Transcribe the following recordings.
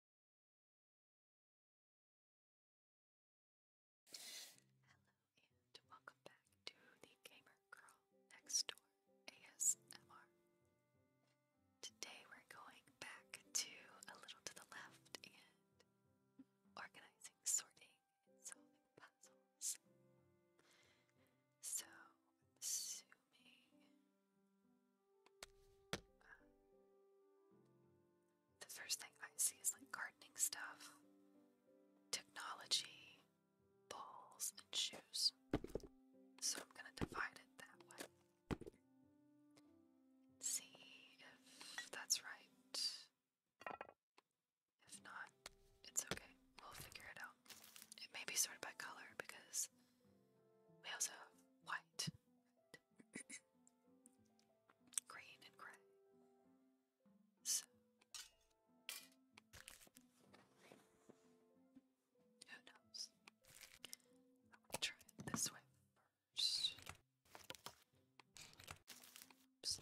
Hello and welcome back to the Gamer Girl Next Door ASMR. Today we're going back to a little to the left and organizing, sorting, and solving puzzles. So I'm assuming the first thing I see is like gardening stuff, technology, balls, and shoes. So I'm gonna divide it that way. See if that's right. If not, it's okay. We'll figure it out. It may be sorted by color because we also have white, green and gray. So, who knows? I will try it this way first. Oops.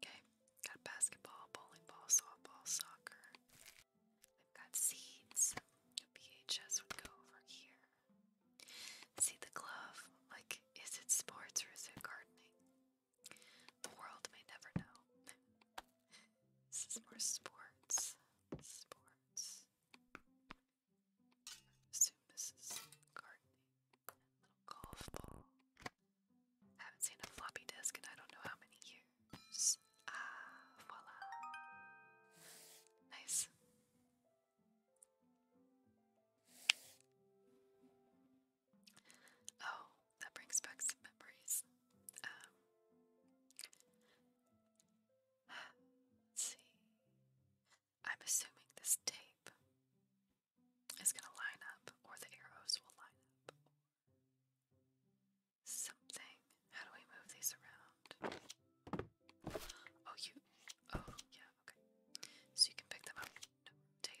Okay, got basketball, bowling ball, softball, soccer. I've got seeds. A VHS would go over here. See the glove? Like, is it sports or is it gardening? The world may never know. this is more sports. Sports. I assume this is gardening. Little golf ball. I haven't seen a floppy disk in I don't know how many years. Ah, voila. Nice. Oh, that brings back some memories. Um, see. I'm assuming this tape is going to line up, or the arrows will line up. Something. How do we move these around? Oh, you. Oh, yeah, okay. So you can pick them up. No, them.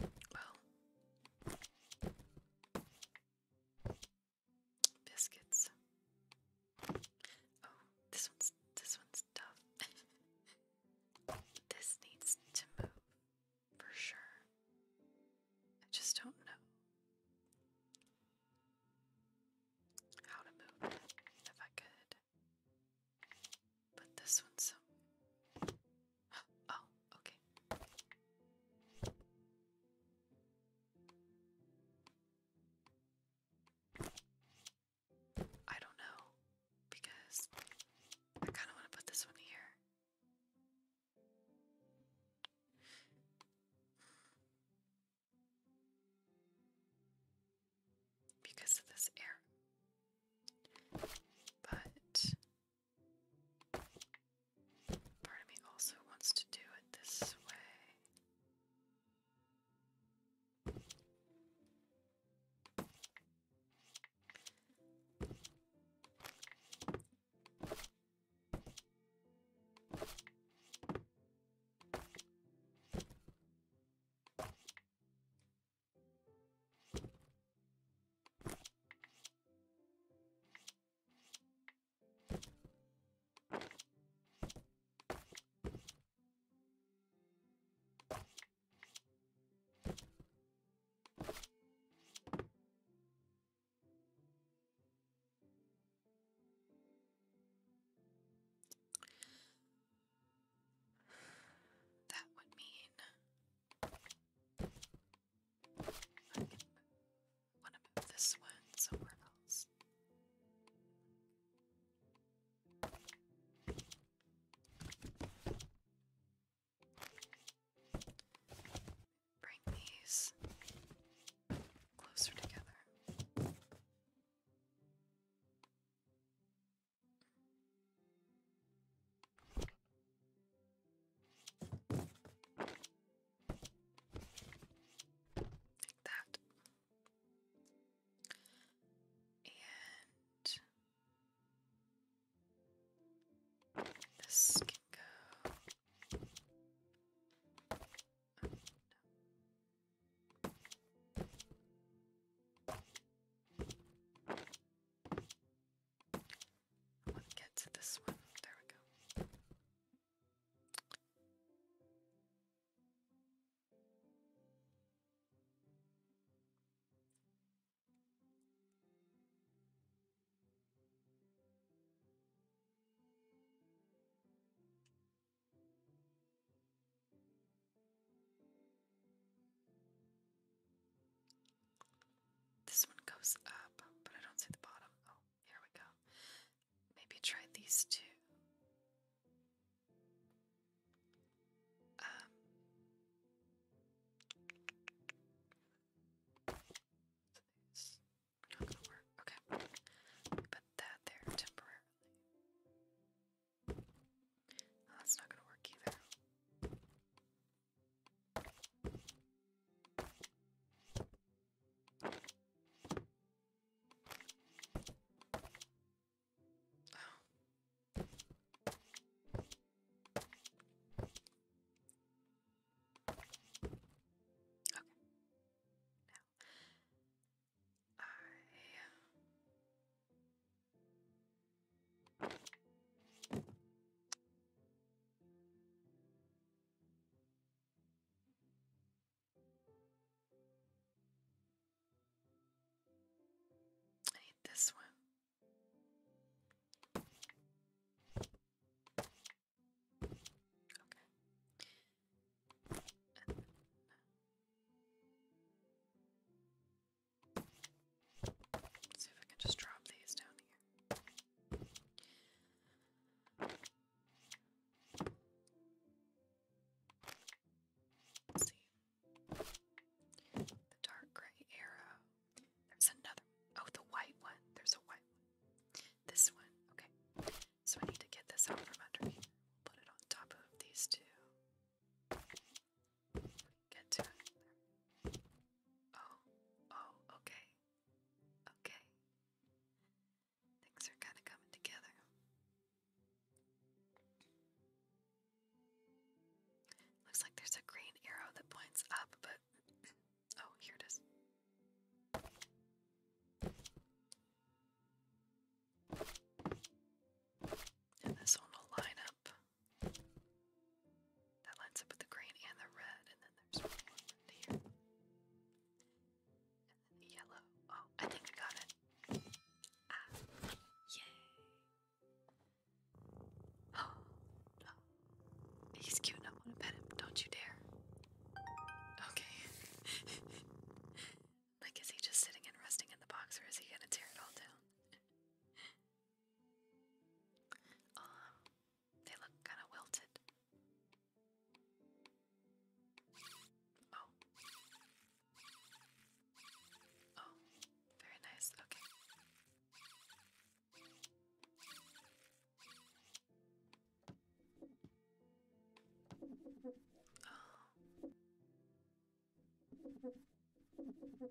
Well, biscuits. Oh, this one's this one's tough. this needs to move for sure. I just don't know how to move if I could. But this one's Oh, okay. I don't know because I kind of want to put this one here. Because of this air. But Part of me also wants to do it this way. That would mean I want to move this one somewhere else. Bring these closer together. Like that. And this can go. Let's get to this one. There we go. This one goes up, but I don't see the bottom. Oh, here we go. Maybe try these two. Um, not gonna work. Okay, put that there temporarily. that's not gonna work either. Oh. I I need this one. Okay see if I can just drop these down here. see. The dark gray arrow. There's another oh the white one. There's a white one. This one. Okay. So I need to get this out from under here. Put it on top of these two. Get to it. Oh, oh, okay. Okay. Things are kind of coming together. Looks like there's a green arrow that points up, but. Oh, here it is. this will line up that lines up with the green and the red, and then there's one here. And then the yellow. Oh, I think I got it. Ah, yay. Oh, no. He's cute, I want to pet him. Don't you dare. Okay. like, is he just sitting and resting in the box, or is he gonna tear it all down? Um, they look kind of wilted. Oh. Oh, very nice. Okay. Oh.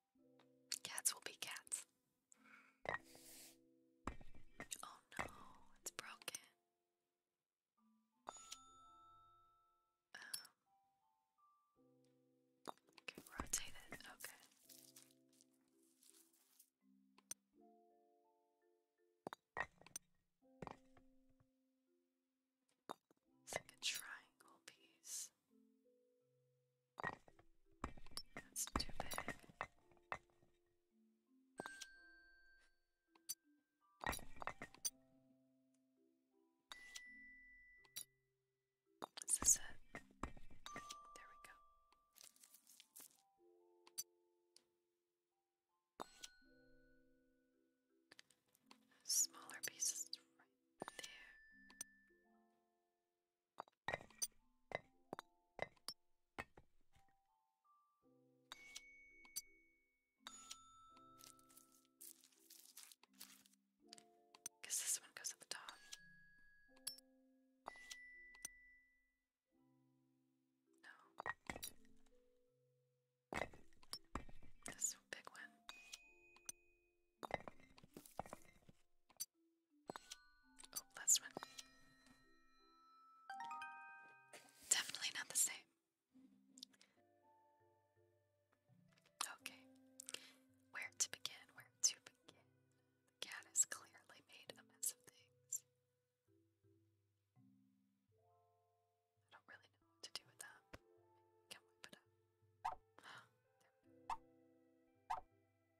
Cats will be cats. Oh no, it's broken. okay, um, rotate it. Okay. It's a triangle piece. That's stupid. big. Is it? There we go. Smaller pieces right there. Because this one goes at the top. No. This big one. Oh, that's one. Definitely not the same. Okay. Where to begin? Where to begin? cat has clearly made a mess of things. I don't really know what to do with that. Can wipe it up.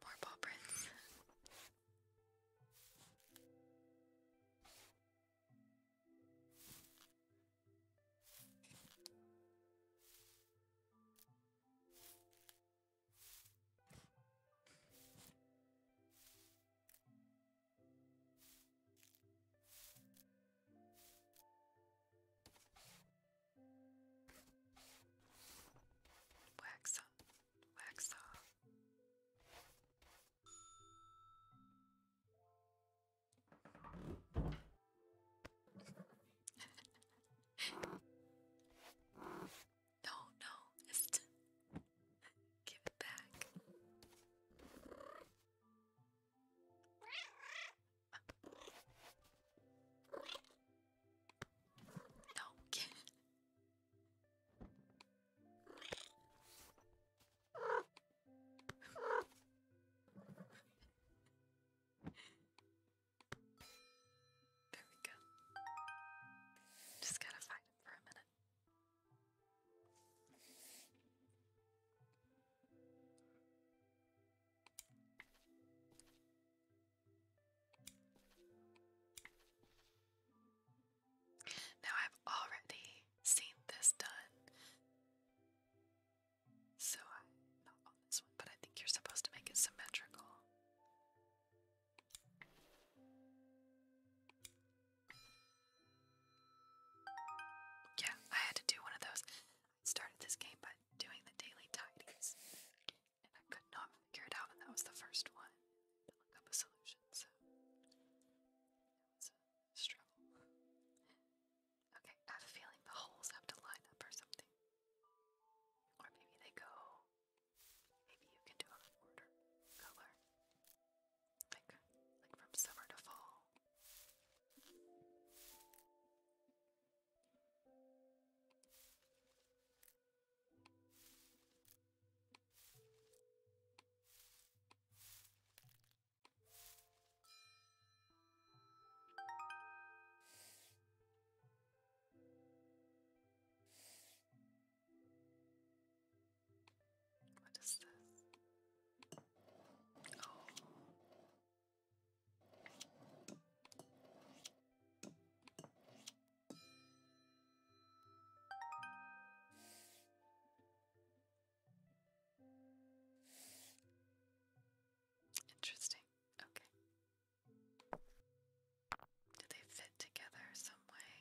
More paw prints. Wax on, wax off. no, no, give it back. No. there we go. Just gotta fight him for a minute. Now I've already seen this done. So not on this one, but I think you're supposed to make it symmetrical. Yeah, I had to do one of those started this game by doing the daily tidies, and I could not figure it out, and that was the first one look up a solution, so that was a struggle. Okay, I have a feeling the holes have to line up or something. Or maybe they go. Maybe you can do a order color. Like like from summer to fall. What is this? Oh, Interesting. Okay. Do they fit together some way?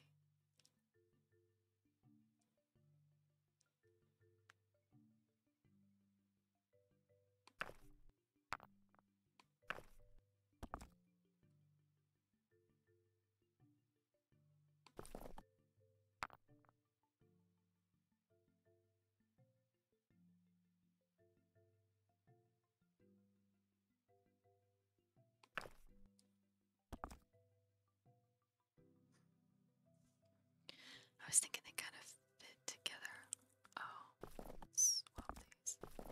I was thinking they kind of fit together. Oh, swap these. No.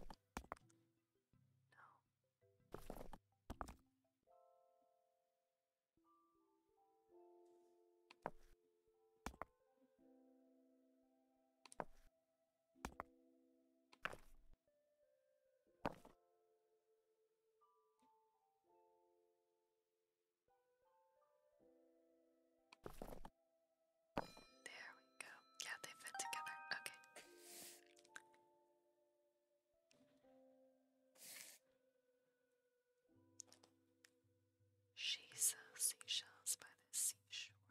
There we go. Yeah, they fit together. Okay. She sells seashells by the seashore.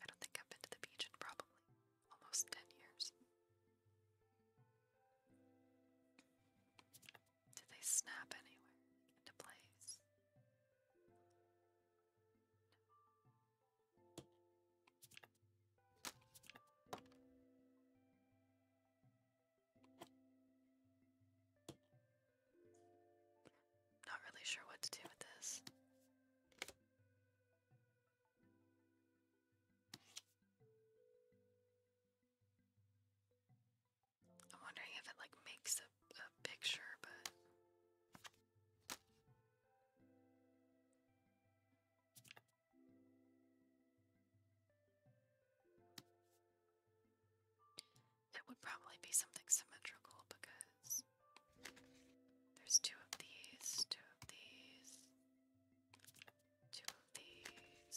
I don't think I've been to the beach in probably almost 10 years. Did they snap anywhere into place? Not really sure what to do with this. I'm wondering if it like makes a, picture, but it would probably be something symmetrical because there's two of these, two of these, two of these.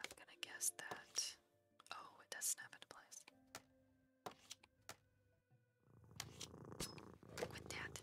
I'm gonna guess that. Oh, it does snap into place. With that.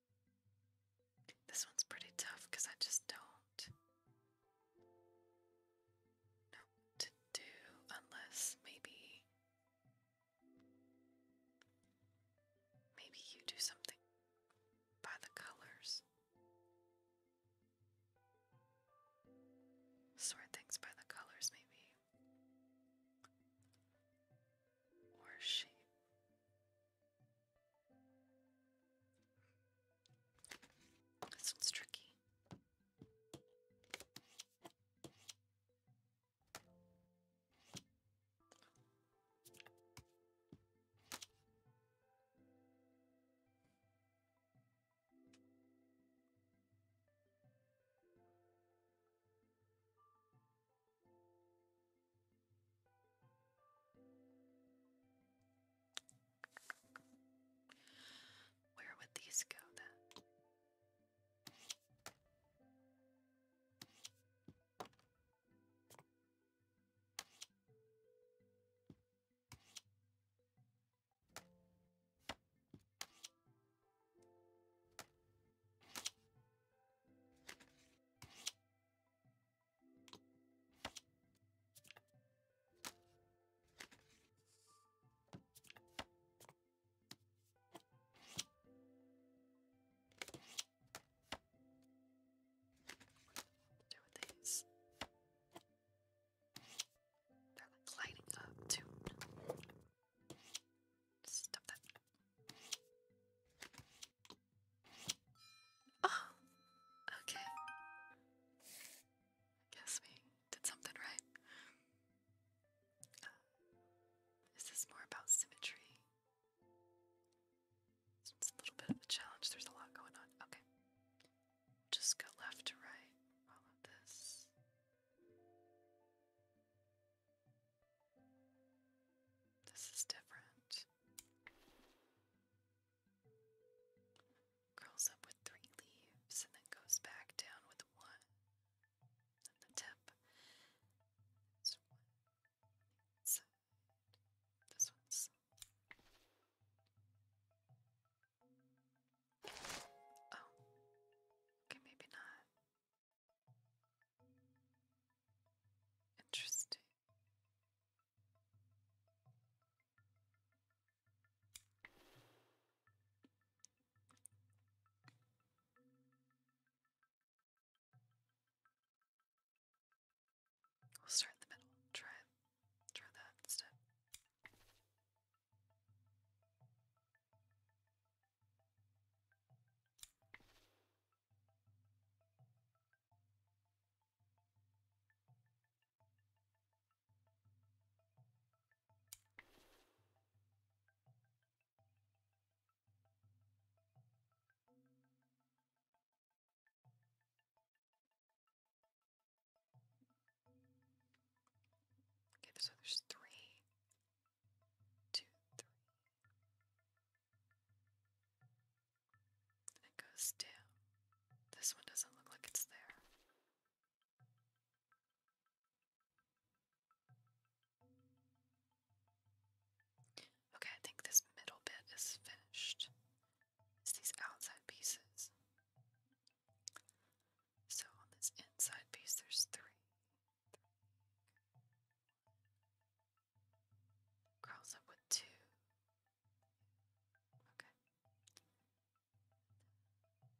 This one's pretty tough because I just don't know to do unless maybe maybe you do something by the colors. Sort things by the colors maybe. Or shape. This one's tricky. Where would these go then? do with these? They're like lighting up too. Stop that. Oh, okay. Guess we did something right. Uh, is this more about symmetry? It's a little bit of a challenge. There's a lot going on. Okay. Just go left to right. All of this. This is different. Curls up with three leaves and then goes back down with one. And the tip is This one's. Oh. Okay, maybe not. Interesting. We'll start in the middle. Try it. Try that instead. Okay, so there's three. Two, three. And it goes, down. this one doesn't look like it's there. Okay, I think this middle bit is finished. It's these outside pieces. So on this inside piece, there's three. Curls up with two, Okay. One,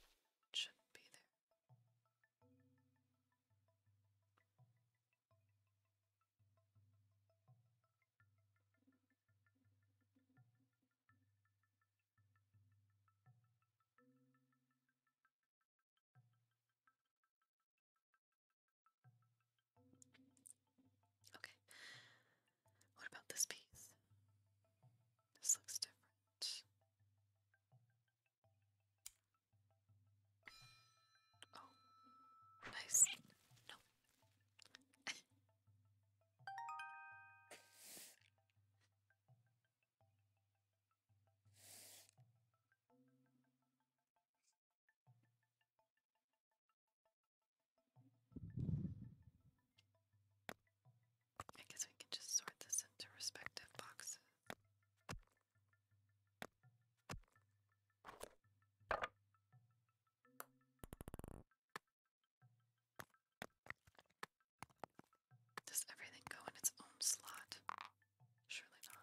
one. Should be there. Okay. What about this piece? This looks different. Oh, nice. No. I guess we can just sort this into respective boxes. Does everything go in its own slot? Surely not.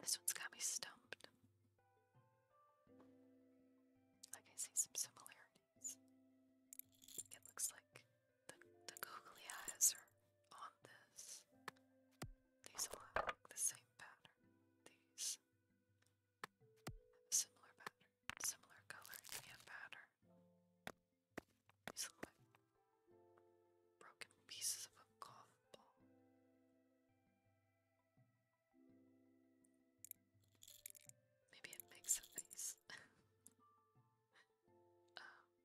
This one's got me stumped. Like I see some similarities. It looks like the, googly eyes are on this. These all have the same pattern. These have a similar pattern, similar color and pattern. These look like broken pieces of a golf ball. Maybe it makes a face. Um,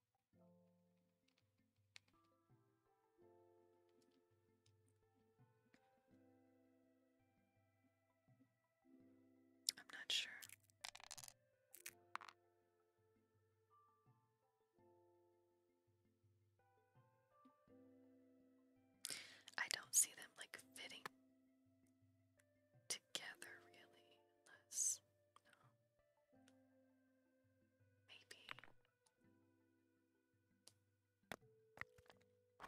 I'm not sure. I don't see them like fitting together really, unless Maybe. No, not really.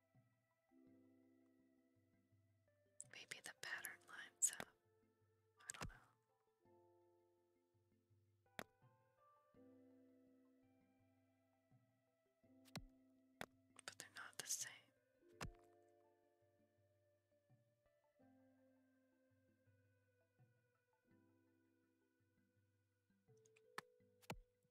Maybe the pattern lines up. I don't know. But they're not the same.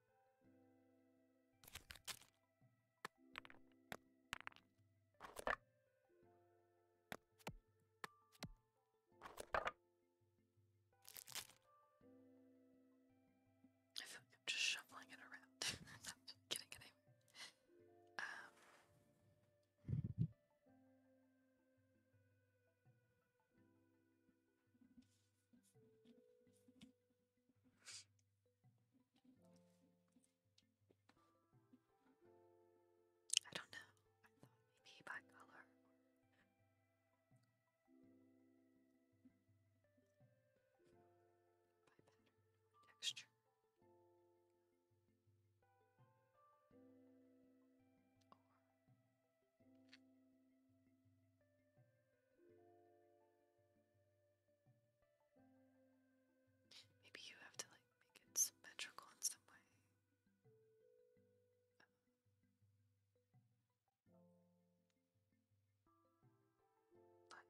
I feel like I'm just shuffling it around. i getting it Um, I don't know. I thought maybe by color. By pattern, texture. Maybe you have to like make it symmetrical in some way. Uh, like,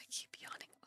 I keep yawning. Oh.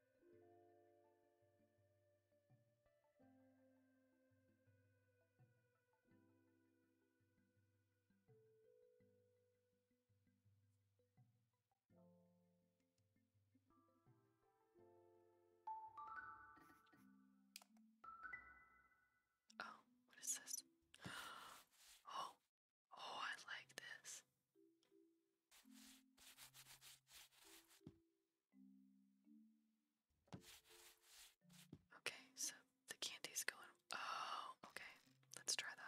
Oh, what is this? Oh, oh, I like this. Okay, so the candy's going. Oh, okay. Let's try that.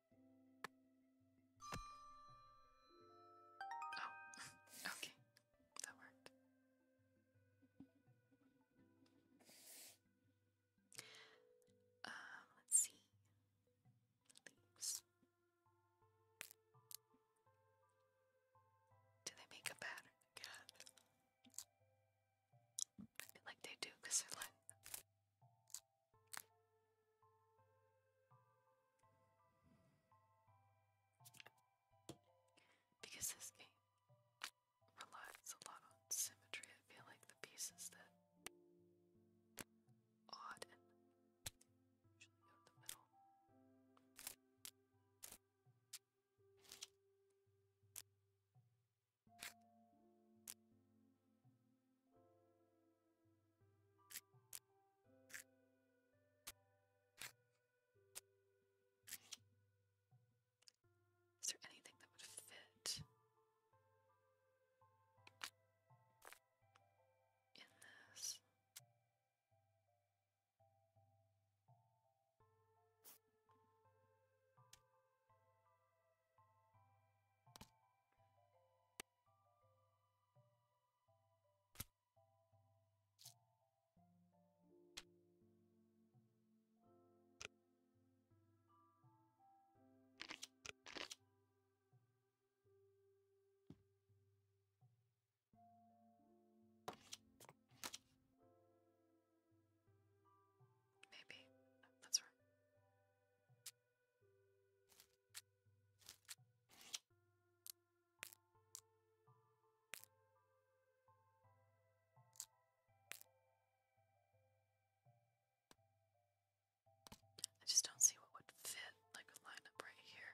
Oh, okay. That worked. Um, let's see. Do they make a pattern again? I feel like they do because they're because this game relies a lot on symmetry, I feel like the pieces that odd and usually go the middle. Is there anything that would fit in this? Maybe that's right. I just don't see what would fit like a up right here.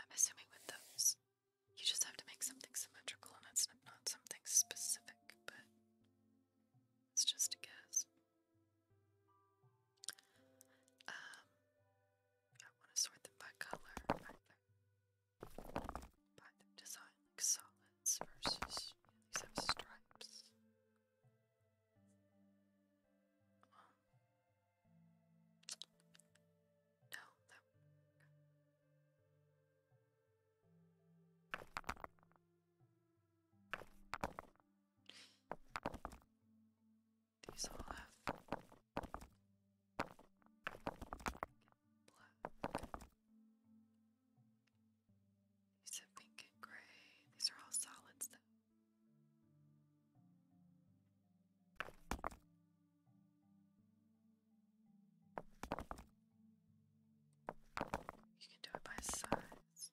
I'm assuming with those, you just have to make something symmetrical and it's not something specific, but it's just a guess. Um, I want to sort them by color, by their design, like solids versus, these have stripes. Um, no, that these all have black. These have pink and gray. These are all solids though. You can do it by size.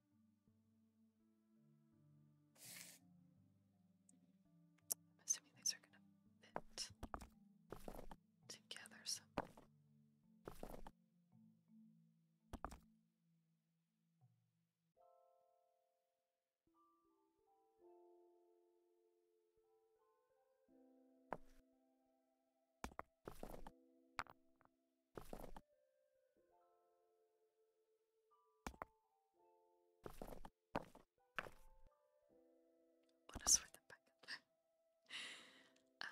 I'm assuming these are going to fit together somehow. Let us put them back up but I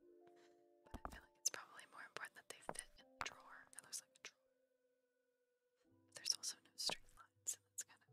feel like it's probably more important that they fit in a drawer. It looks like a drawer. there's also no straight lines, and that's kind of.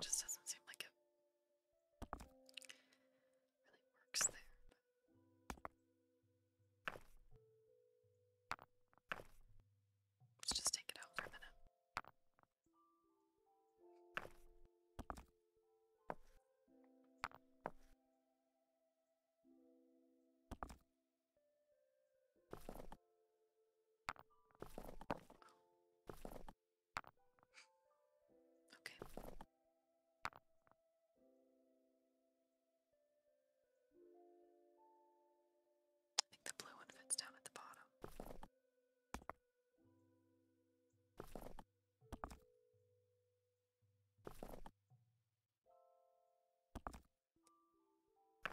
Just doesn't seem like it really works there. Let's just take it out for a minute. Okay. I think the blue one fits down at the bottom. I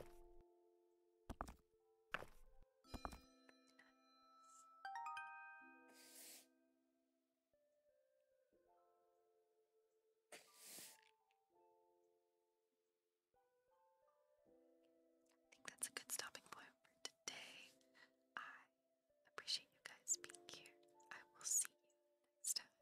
think that's a good stopping point for today. I appreciate you guys being here. I will see you next time.